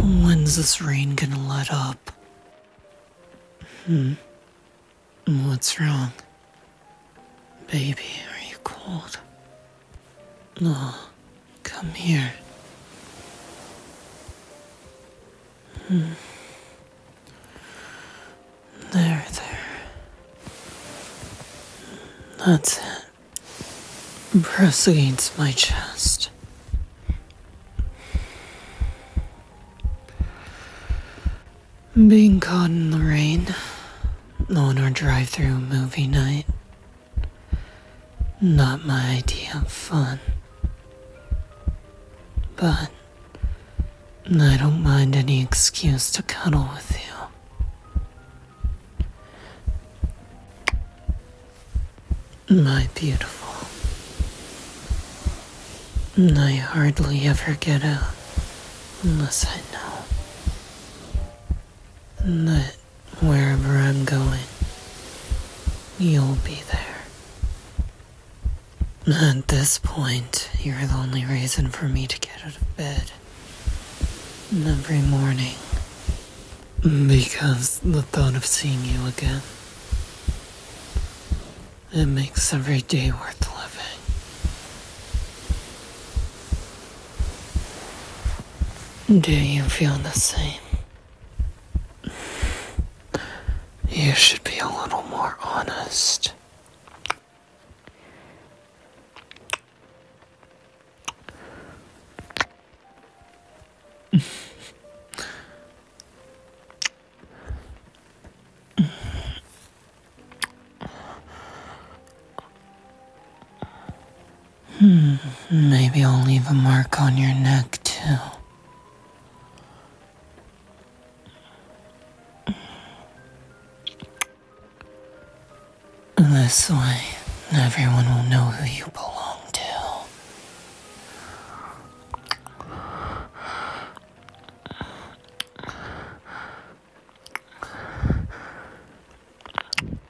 When's this rain gonna let up? Hmm. What's wrong? Baby, are you cold? No, come here. Hmm. There, there. That's it. Pressed against my chest. Being caught in the rain on our drive through movie night not my idea of fun. But I don't mind any excuse to cuddle with you. My beautiful. I hardly ever get out unless I know that wherever I'm going, You'll be there. At this point, you're the only reason for me to get out of bed. Every morning. Because the thought of seeing you again. It makes every day worth living. Do you feel the same? You should be a little more honest. Hmm, maybe I'll leave a mark on your neck too. This way, everyone will know who you belong to.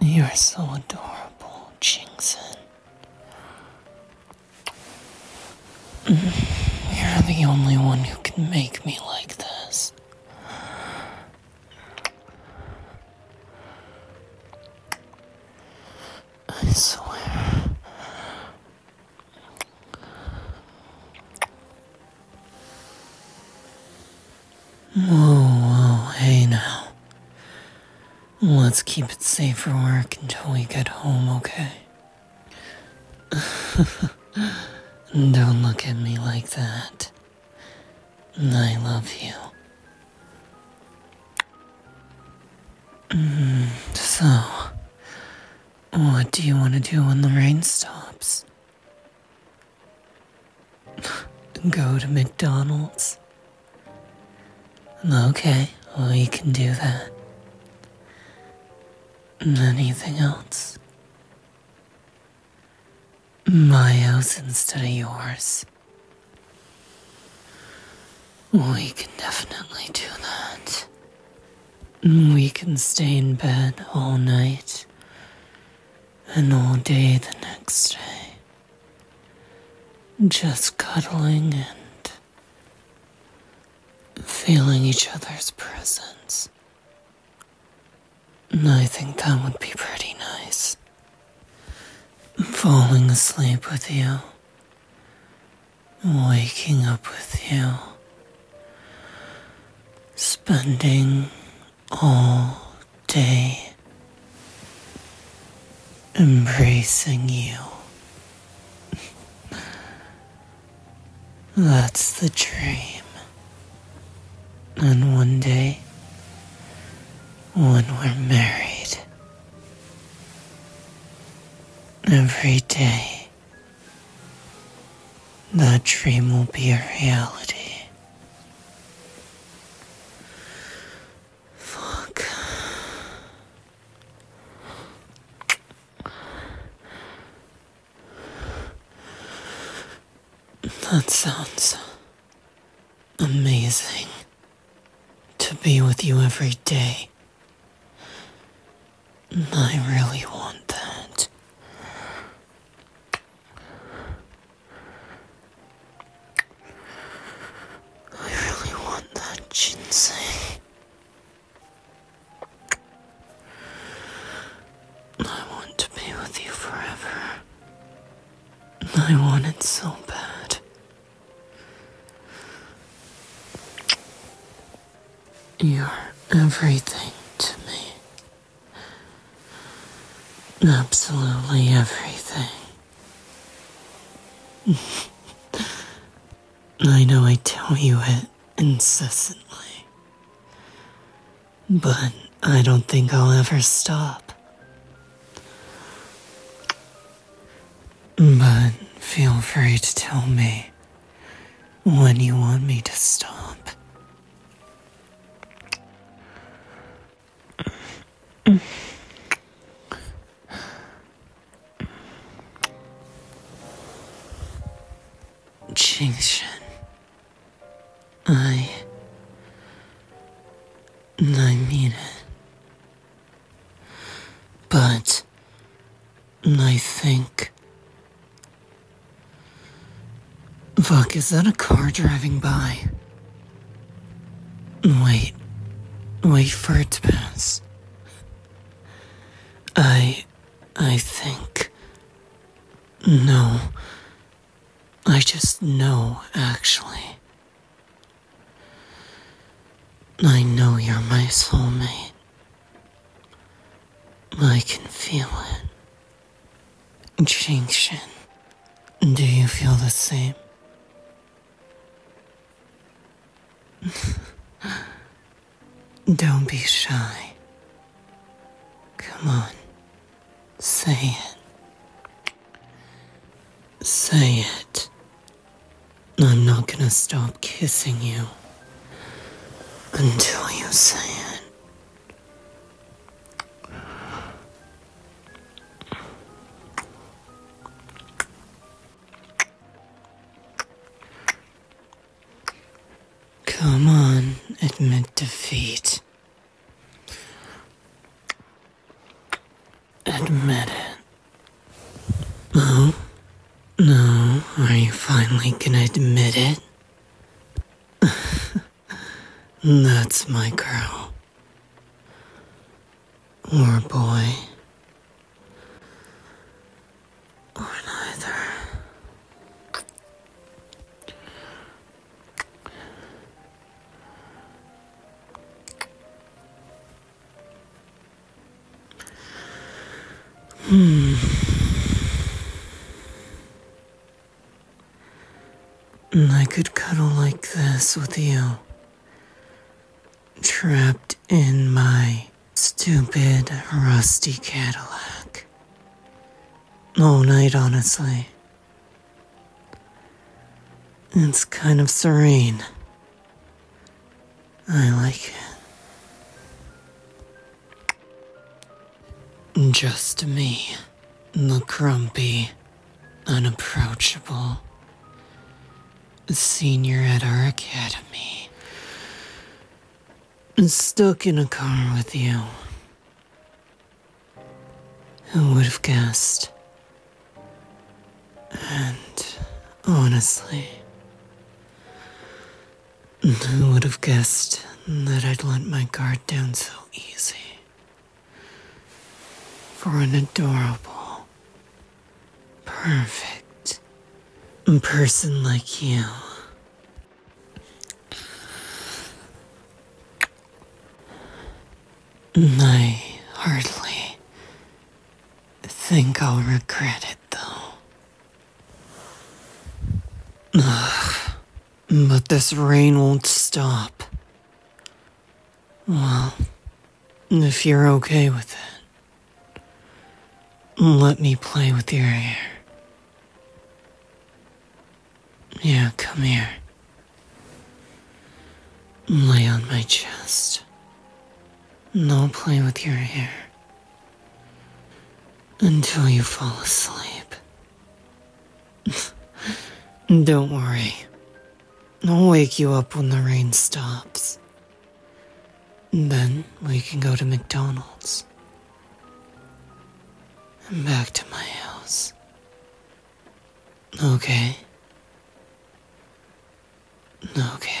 You are so adorable, Jingson. Mm-hmm. You're the only one who can make me like this. I swear. Oh, hey now. Let's keep it safe for work until we get home, okay? Don't look at me like that. I love you. Mm, so, what do you want to do when the rain stops? Go to McDonald's. Okay, we can do that. Anything else? My house instead of yours. We can definitely do that. We can stay in bed all night and all day the next day just cuddling and feeling each other's presence. I think that would be pretty nice. Falling asleep with you, waking up with you, spending all day, embracing you. That's the dream. And one day, when we're married, every day, that dream will be a reality. Fuck. That sounds amazing to be with you every day. I really want that. I really want that ginseng. I want to be with you forever. I want it so bad. You're everything to me. Absolutely everything. I know I tell you it incessantly, but I don't think I'll ever stop. But feel free to tell me when you want me to stop. Jingshan. I. I mean it. But. I think. Fuck, is that a car driving by? Wait. Wait for it to pass. I. I think. No. I just know, actually. I know you're my soulmate. I can feel it. Jinxin, do you feel the same? Don't be shy. Come on, say it. Say it. I'm not gonna stop kissing you until you say it. Come on, admit defeat. Admit it. Oh? No, are you finally gonna admit it? That's my girl. Or boy. Or neither. Hmm. I could cuddle like this with you, trapped in my stupid, rusty Cadillac. All night, honestly. It's kind of serene. I like it. Just me, the grumpy, unapproachable senior at our academy. Stuck in a car with you. Who would have guessed? And honestly, who would have guessed that I'd let my guard down so easy for an adorable, perfect person like you. I hardly think I'll regret it, though. Ugh. But this rain won't stop. Well, if you're okay with it, let me play with your hair. Yeah, come here. Lay on my chest. And I'll play with your hair until you fall asleep. Don't worry. I'll wake you up when the rain stops. Then we can go to McDonald's. And back to my house. Okay. Okay.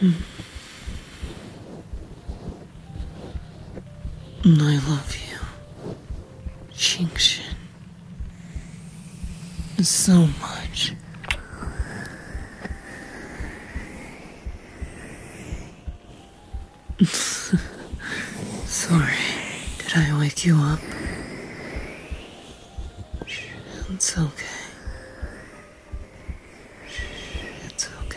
Mm. I love you, Xingxin, so much. Sorry, did I wake you up? It's okay. It's okay.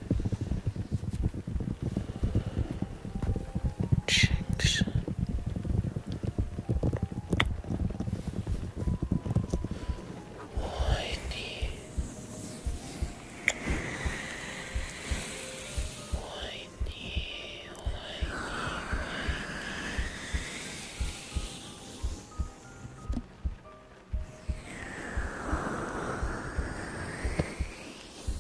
Jinx. Whiny. Whiny, whiny, whiny.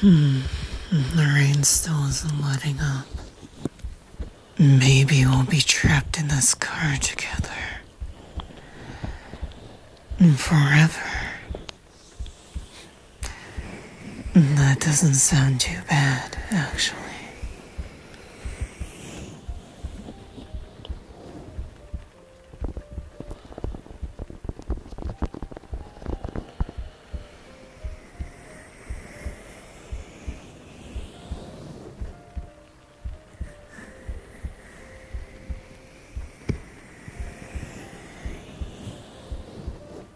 Hmm. The rain still isn't letting up. Maybe we'll be trapped in this car together. Forever. That doesn't sound too bad, actually.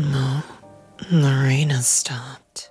No, the rain has stopped.